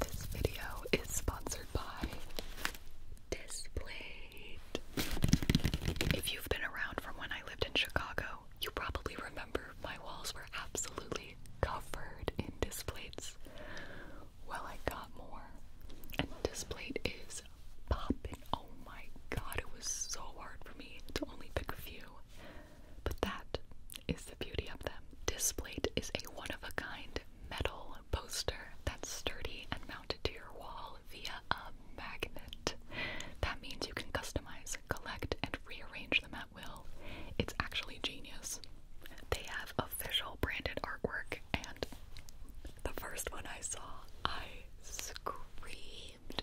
This video is sponsored by Displate. If you've been around from when I lived in Chicago, you probably remember my walls were absolutely covered in displays. Well, I got more. And Displate is popping. Oh my god, it was so hard for me to only pick a few. But that is the beauty of them. displayed is a one-of-a-kind metal poster that's sturdy and mounted to your wall via a magnet. That means you can customize, collect, and rearrange them at will. It's actually genius. They have official branded artwork, and the first one I saw, I screamed.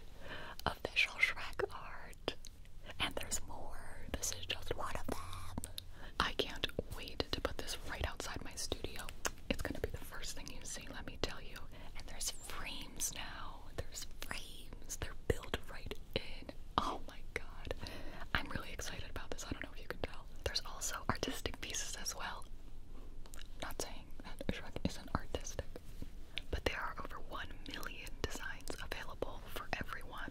Official Shrek art. And there's more. This is just one of them. I can't wait to put this right outside my studio. It's gonna be the first thing you see, let me tell you. And there's frames now. There's frames. They're built right in. Oh my god. I'm really excited about this. I don't know if you can tell. There's also artistic pieces as well. Not saying that Shrek isn't artistic, but there are over 1 million designs available for everyone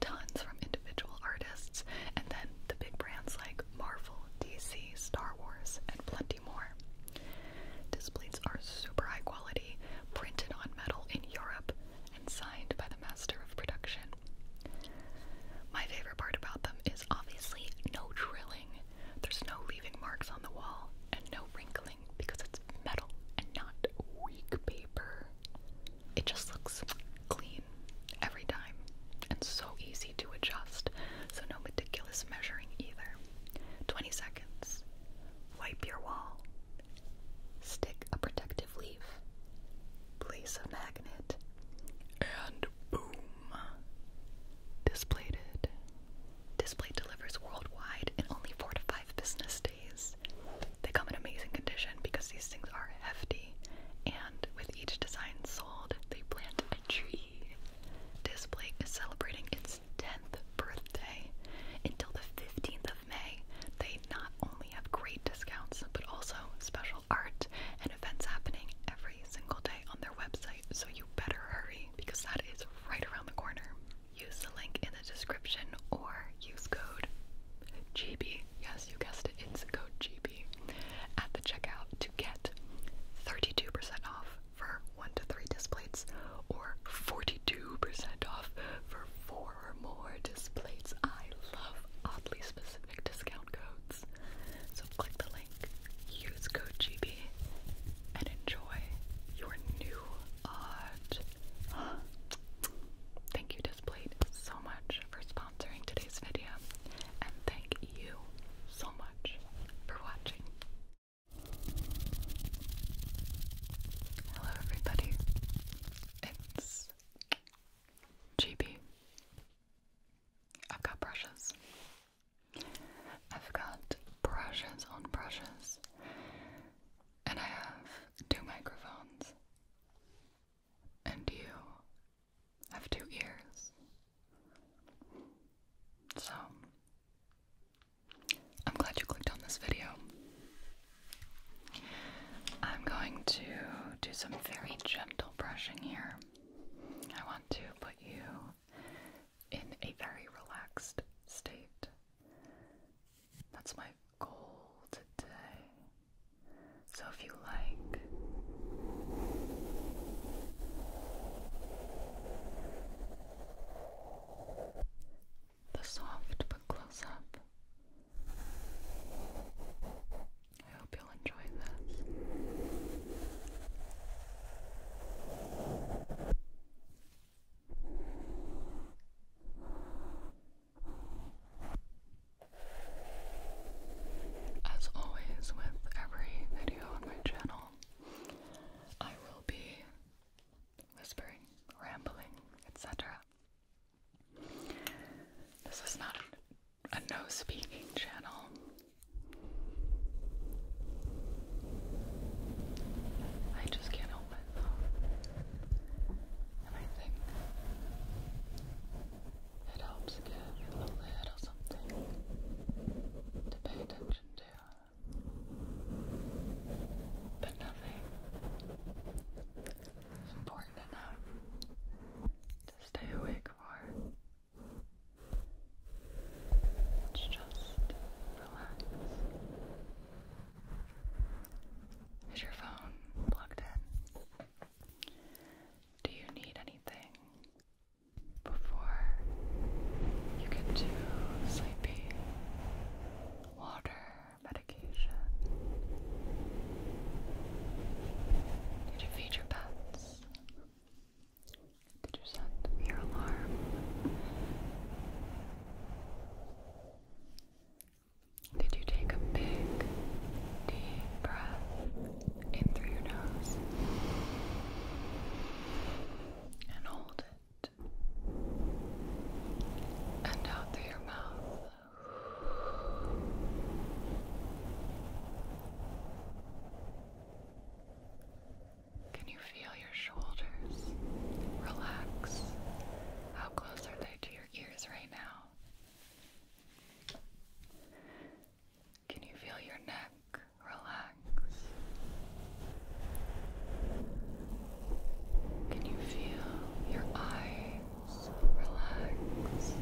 tons from individual artists, and then the big brands like Marvel, DC, Star Wars, and plenty more. Displays are super high quality, printed on metal in Europe, and signed by the master of production. My favorite part about them is obviously no drilling. There's no leaving marks on the wall and no wrinkling because it's metal and not weak paper it just looks clean every time and so easy to adjust, so no meticulous measuring either. 20 seconds. Wipe your wall. Stick a protective leaf. Place a magnet. And boom. Displayed Display delivers worldwide in only 4 to 5 business days. They come in amazing condition because these things are hefty, and with each design sold, they plant a tree. Display is celebrating its 10th birthday. Until the 15th of May, they not only have great discounts, but also special art and events happening every single day on their website, so you better hurry because that is right around the corner. Use the link in the description or use code GB, yes, you guessed it, it's code GB at the checkout to get 32% off for 1 to 3 displays or 42% off for 4 or more displays. I love oddly specific discount codes. So click the link, use code GB, and enjoy your new odd. Thank you, Displayed, so much for sponsoring today's video, and thank you so much for watching. Hello, everybody. It's GB. i got brushes. I've got brushes on brushes, and I have two microphones and you have two ears. So, I'm glad you clicked on this video. I'm going to do some very gentle brushing here. I want to put you in a very relaxed state. That's my goal today. So if you like, the soft but close up. I hope you'll enjoy this. As always, with every video on my channel, I will be whispering, rambling, etc. This is not a no speaking channel. I just can't help it. And I think it helps give a little something to pay attention to. But nothing important enough to stay awake for. let just relax. Is your phone plugged in? Do you need anything before you get too sleepy? Water, medication. Did you feed your pets? Did you set your alarm? Did you take a big, deep breath in through your nose and hold it and out through your mouth? Can you feel your shoulders relax? How close are they to your your ears right now? Can you feel your neck relax? Can you feel your eyes relax?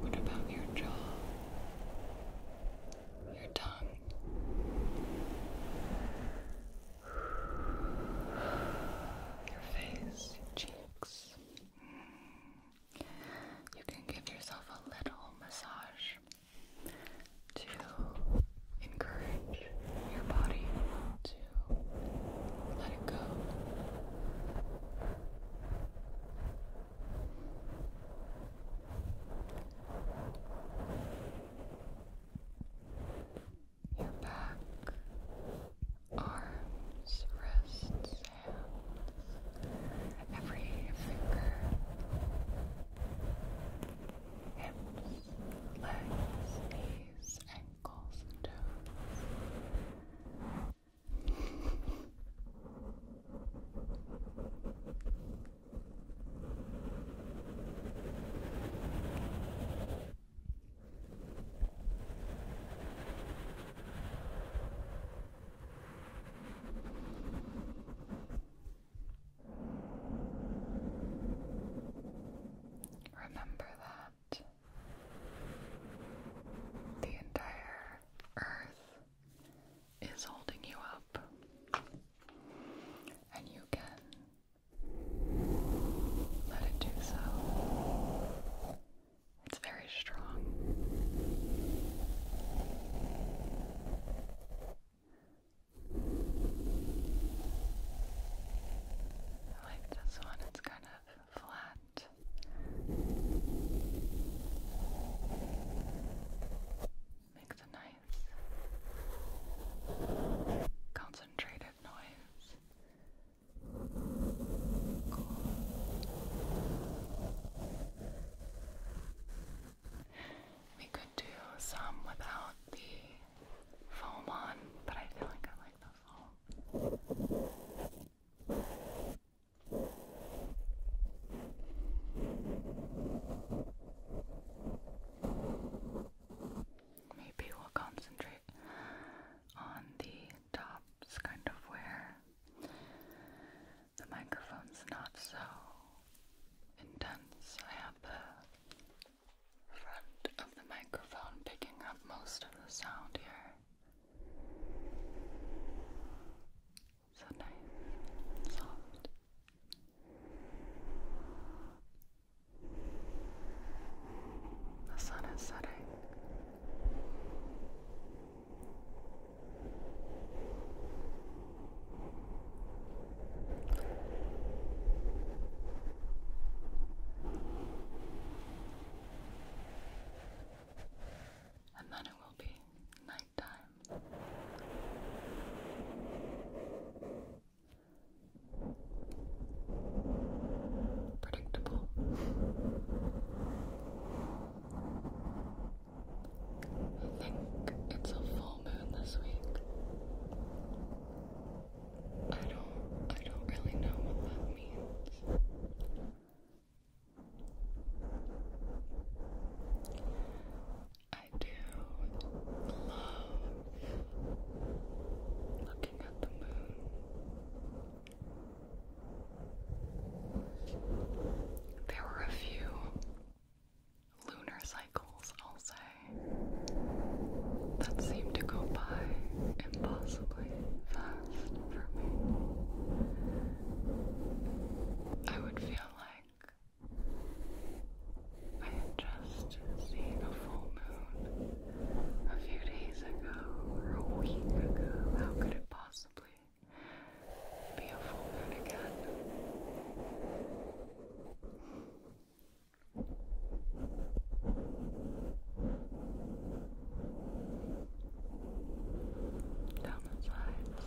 What about your jaw? your tongue. Your face, your cheeks. You can give yourself a little massage to encourage your body to let it go. Your back, arms, wrists, hands, every finger, hips, legs, knees, ankles, and toes. Remember that the entire earth is holding you up, and you can let it do so. It's very strong. I like this one, it's kind of flat. Make the nice concentrated noise. We could do some without the foam on, but I feel like I like those Maybe we'll concentrate on the tops, kind of where the microphone's not so intense. I have the front of the microphone picking up most of the sound here. So nice, The sun is setting. And then it will be night nighttime. Predictable. I think it's a full moon this week. I don't I don't really know what that means. I do love looking at the moon. There were a few lunar cycles, I'll say, that seemed to go by impossibly fast for me. I would feel like I had just seen a full moon a few days ago or a week ago. How could it possibly be a full moon again? Down the sides.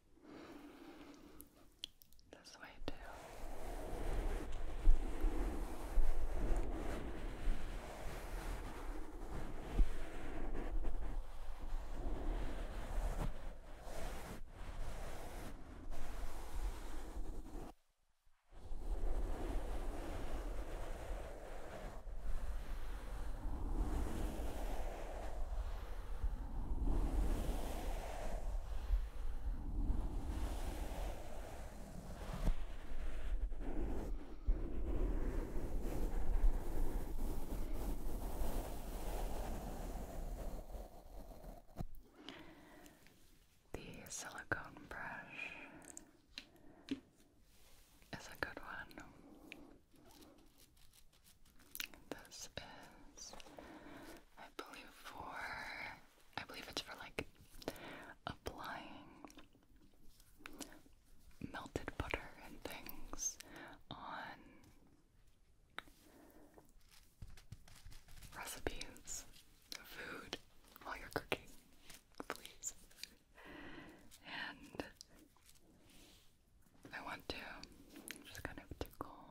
This way, too. Good. The silicone brush is a good one. This is, I believe, for I believe it's for like applying melted butter and things on recipes, food while you're cooking, please. And I want to just kind of tickle.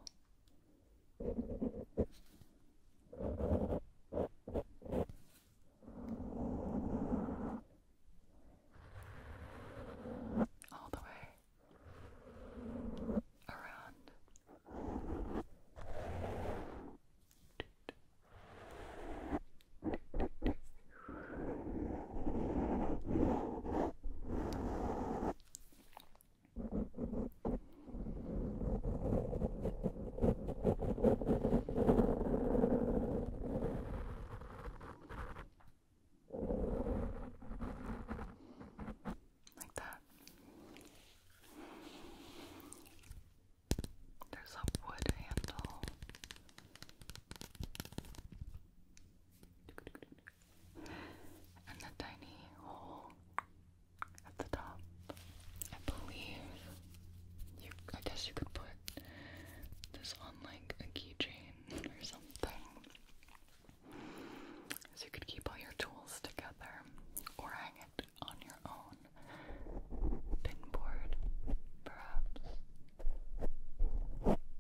All the way around. Like that. There's a wood handle and the tiny hole at the top. I believe you. I guess you could put this on like a keychain or something, so you could keep all your tools together, or hang it on your own pinboard, perhaps.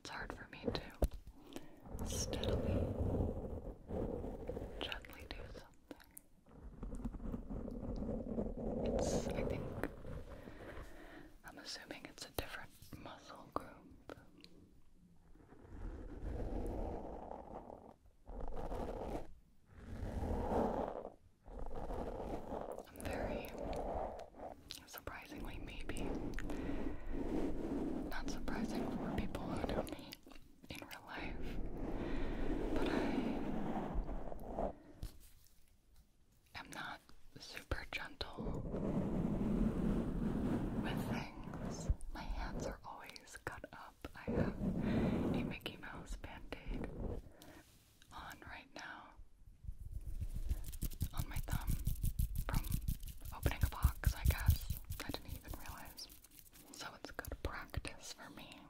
It's hard for me to steadily, gently do something. It's, I think, I'm assuming it's a different muscle group. I'm very surprisingly, maybe not surprising for people who know me in real life, but I am not super gentle with things. My hands are always cut up. I have a Mickey Mouse bandaid on right now on my thumb from opening a box, I guess. I didn't even realize. So it's good practice for me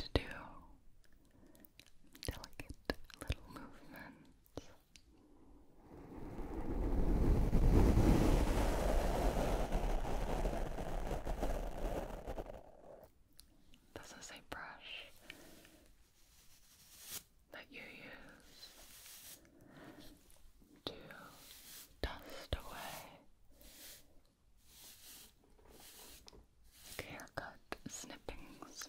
to do delicate little movements. This is a brush that you use to dust away haircut snippings.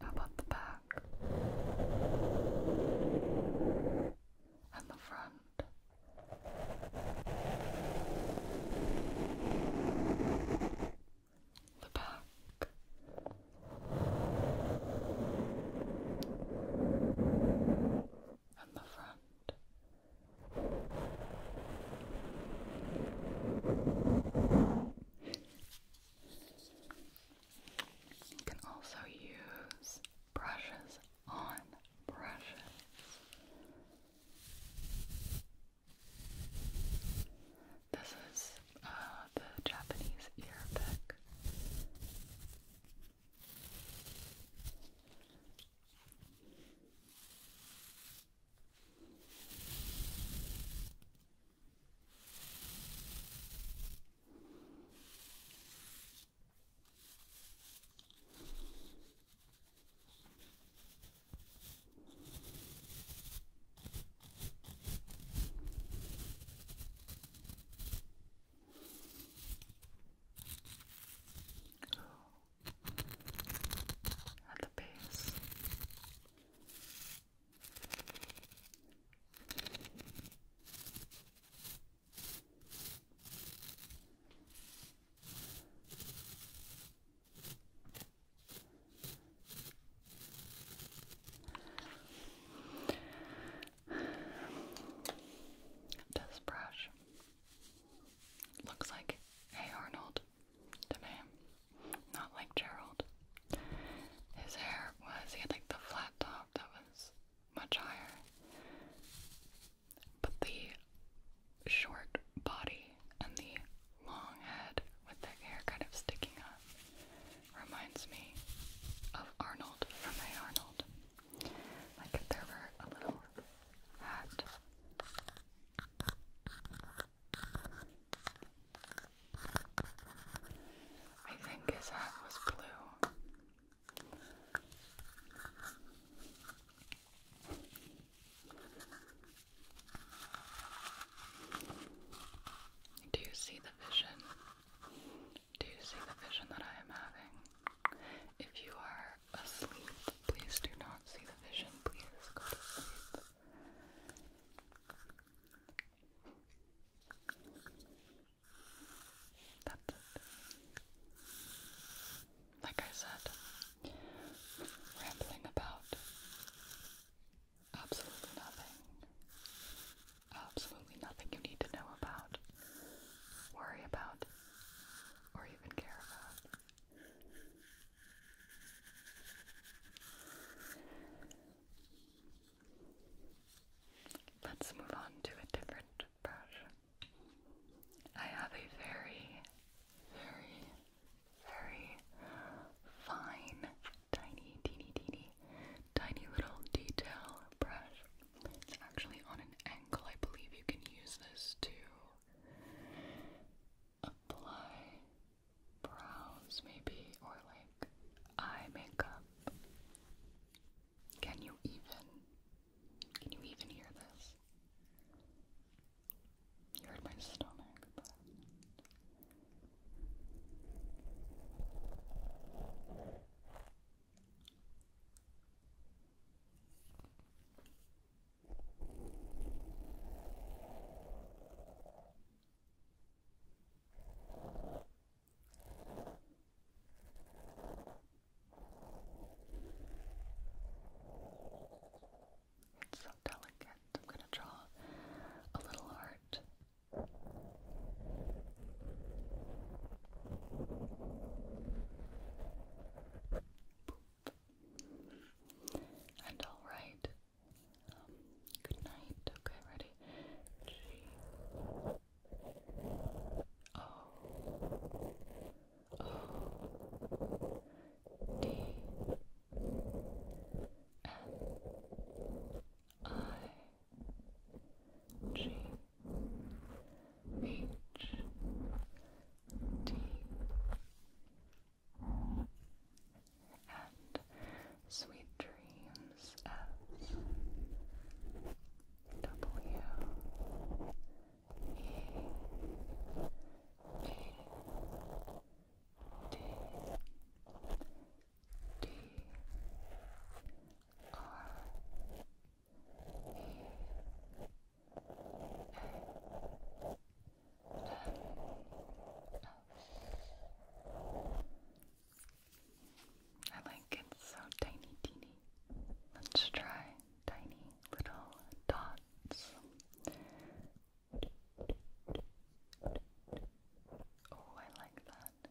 How about the back and the front? the back. And the front. You can also use brushes on brushes this is uh, the Japanese ear pick. At the base. Good. This brush looks like Hey Arnold to me, not like Gerald. His hair was, he had like the flat top that was much higher, but the short body and the long head with the hair kind of sticking up reminds me of Arnold from Hey Arnold. Like there were a little hat. I think his hat was blue. Do you see the vision? Do you see the vision that I am having? If you are asleep, please do not see the vision. Please go to sleep. That's it. Like I said, rambling about Absolutely nothing. Absolutely nothing you need to know about, worry about, or even care about. Let's move on to a different brush. I have a very, very very fine, tiny, teeny, teeny, tiny little detail brush. It's actually on an ankle. I believe you can use this to apply brows, maybe, or like eye makeup. Can you even? Can you even hear this? You hurt my stomach, it's so delicate. I'm going to draw a little heart. Boop. And all right. Um, good night. Okay, ready? G. O. O. D N I G H D and sweet dreams F W E A D D R E A N S. I like it so tiny, teeny. Let's try tiny little dots. Oh, I like that.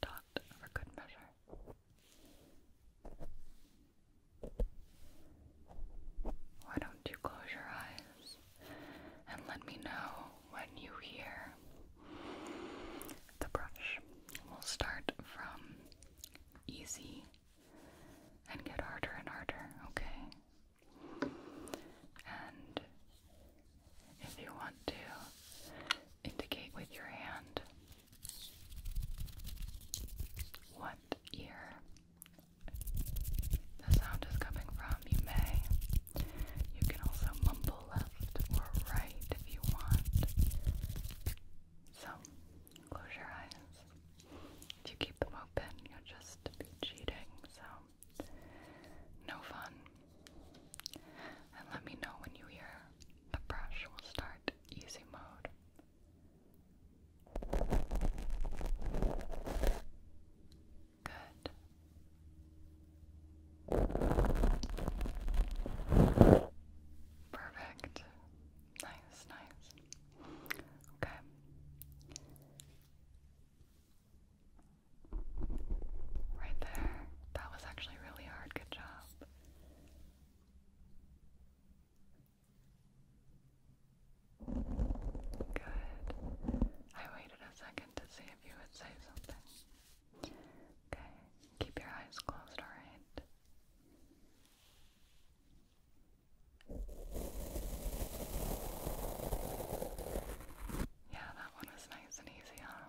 dot for good measure. Why don't you close your eyes and let me know when you hear the brush? We'll start from easy and get harder and harder, okay? And if you want to indicate with your hand what ear the sound is coming from, you may. You can also mumble left or right if you want. So, Close your eyes. If you keep them open, you'll just be cheating, so no fun. And let me know when you hear the brush will start easy mode. Good. Perfect. Nice, nice. Okay. Right there. That was actually really hard. Good job. Good. I waited a second to see if you would say something. Okay, keep your eyes closed, alright? Yeah, that one was nice and easy, huh?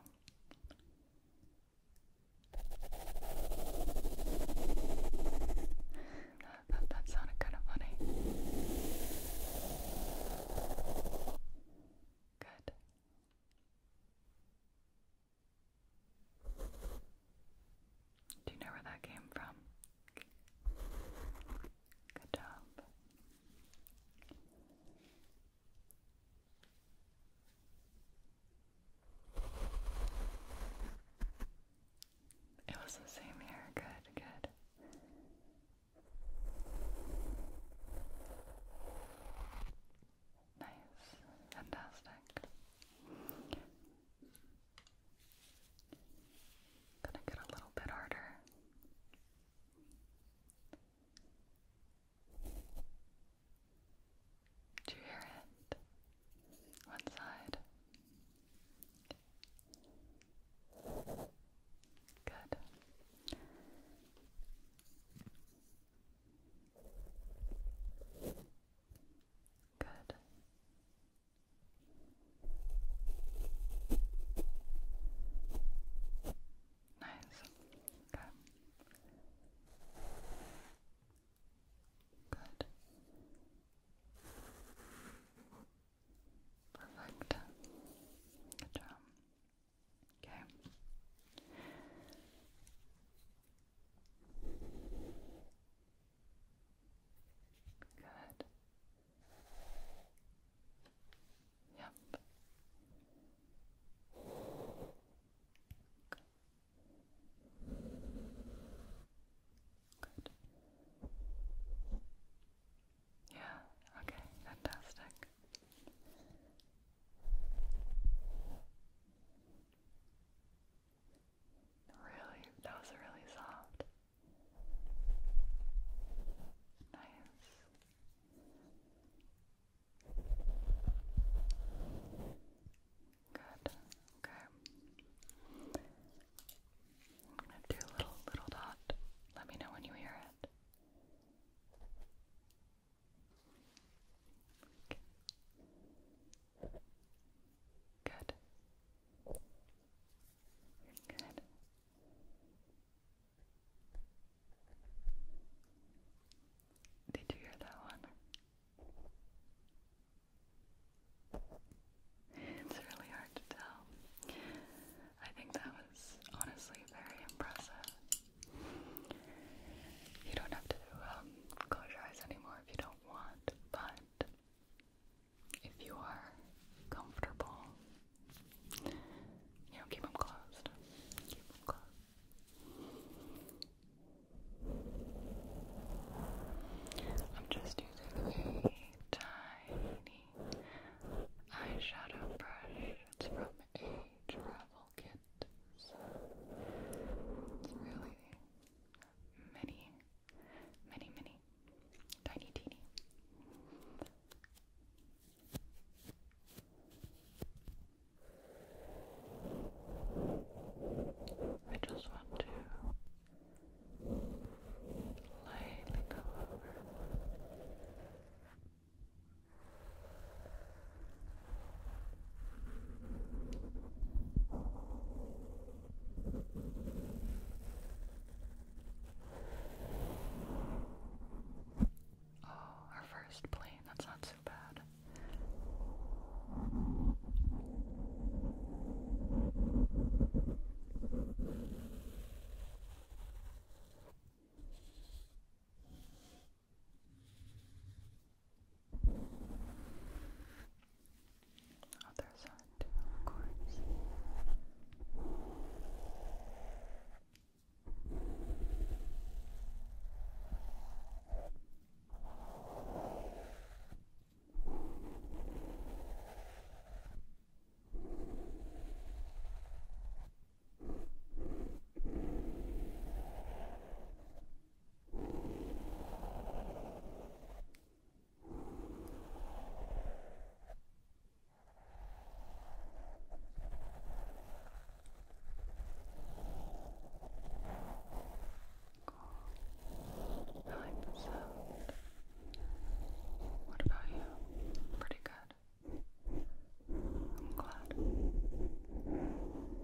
that sounded kind of funny. Good. Do you know where that came from? Good job. It was the same here. Good, good. Nice, fantastic. Gonna get a little bit harder. Do you hear it? One side. Good. Good. Nice. Okay. Good. Perfect. Good job. Okay. Good. Yep. Good. Good. Yeah, okay, fantastic. Really, that was really soft. Nice. Good. Okay. I'm gonna do a little little dot. Let me know when you hear it. Good. Good. Did you hear that one? It's really hard to tell. I think that was honestly very impressive. You don't have to um, close your eyes anymore if you don't want, but if you are comfortable, you know, keep them closed. Keep them closed. I'm just using a tiny eyeshadow brush. It's from a travel full really many, many, many tiny teeny. I just want to lightly go Oh, our first plane, that's not so bad. Other side of course. I like the sound. What about you? Pretty good. I'm glad.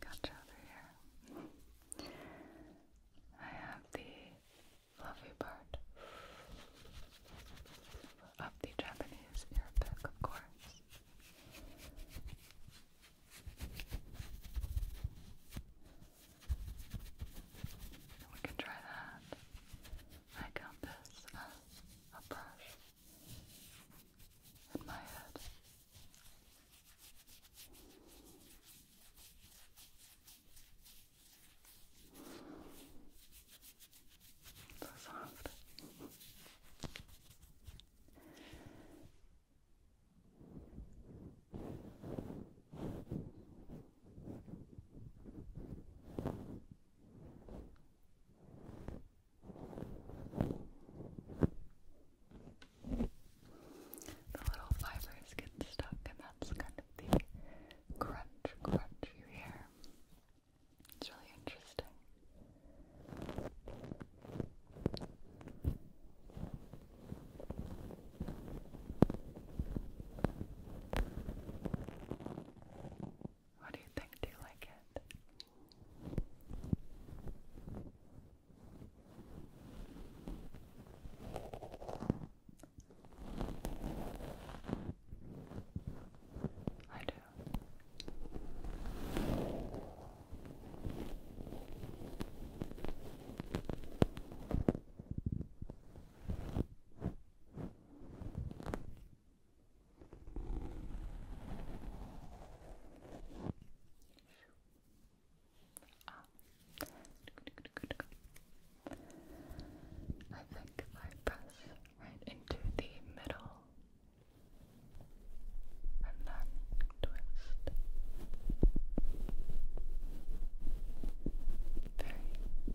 Gotcha over here. I have the fluffy part of the Japanese ear pick, of course. We can try that. I count this a brush in my head. So soft. The little fibers get stuck, and that's kind of the crunch, crunch you hear. It's really interesting. What do you think? Do you like it? I do. Ah. I think if I press right into the middle and then twist,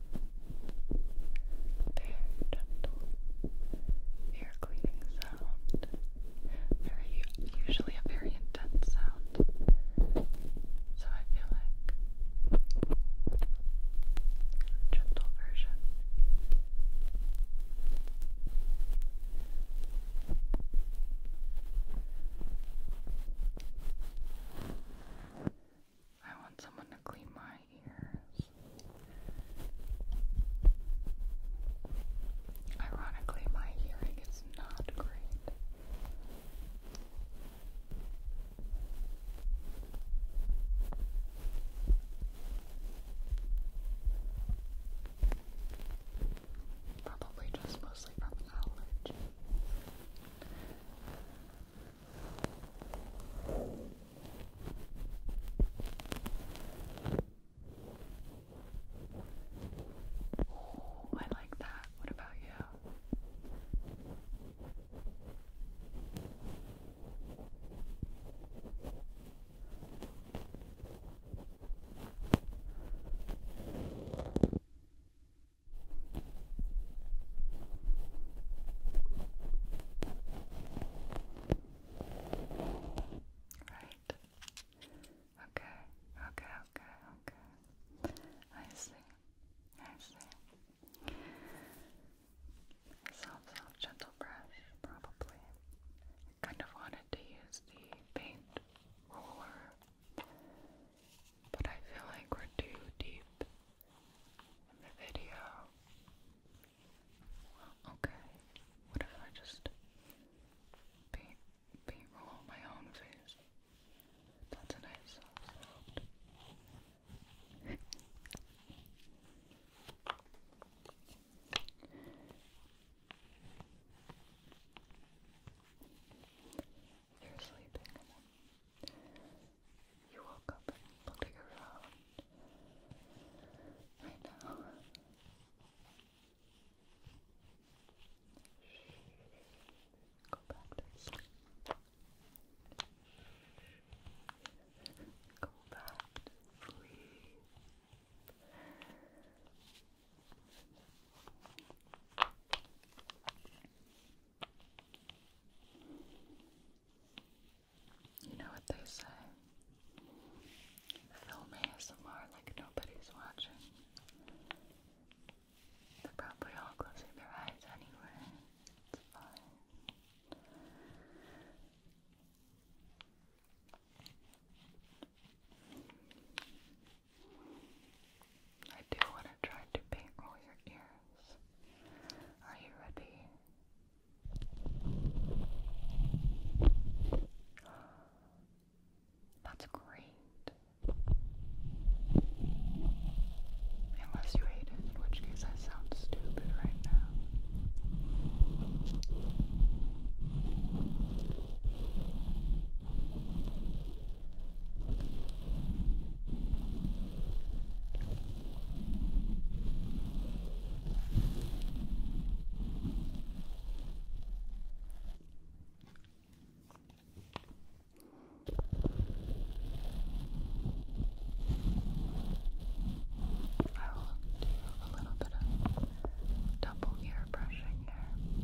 very gentle ear cleaning sound. Very usually a very intense sound. So I feel like gentle version. I want someone to clean my ears. Ironically, my hearing is not great. Probably just mostly from allergies. Oh, I like that. What about you? Right. Okay, okay, okay, okay. I see. I see. Soft, soft, gentle brush, probably. kind of wanted to use the paint roller, but I feel like we're too deep in the video. okay, what if I just paint, paint roll my own face? That's a nice soft You're sleeping you woke up and pulling around right now. Go back to sleep. Go back to sleep. You know what they say? Film ASMR like nobody's watching. They're probably all closing their eyes anyway. It's fine. I do want to try to paint all your ears. Are you ready? That's great. Unless you hate it, in which case I sound stupid right now. I will do a little bit of double ear brushing here.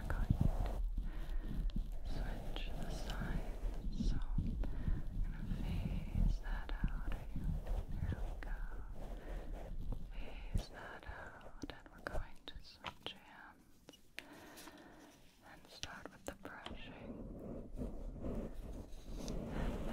we switch the sides. So going to phase that out you. There we go. Phase that out, and we're going to switch hands and start with the brushing and then the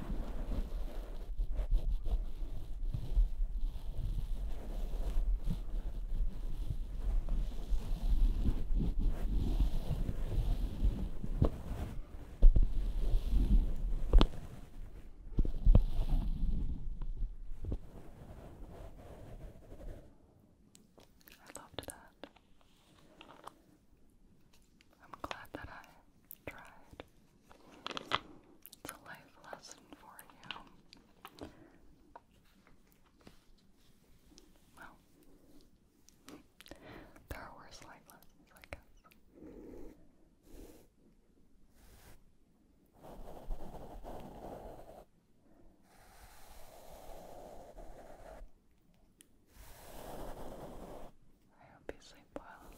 I loved that. I'm glad that I tried. It's a life lesson for you. Well, there are worse life lessons, I guess. I hope you sleep well. It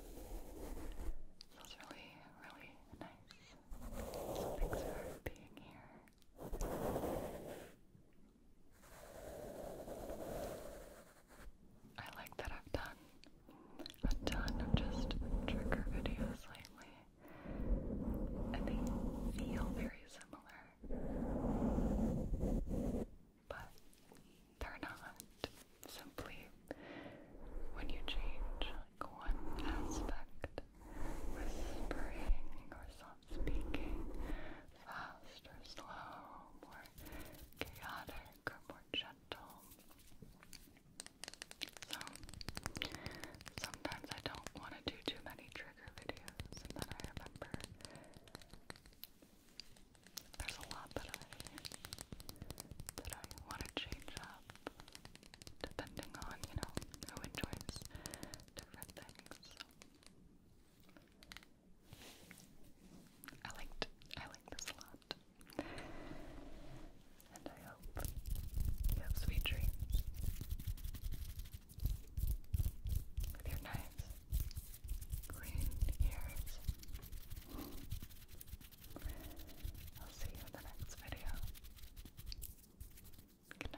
was really, really nice. thanks for being here. I like that I've done a ton of just trigger videos lately, and they feel very similar but they're not. Simply, when you change like one aspect whispering or soft speaking, fast or slow, more chaotic or more gentle. So, sometimes I don't want to do too many trigger videos, and then I remember there's a lot that I that I want to change up, depending on you know who enjoys different things. I liked I like this a lot, and I hope you have sweet dreams with your knives green ears. I'll see you in the next video. Good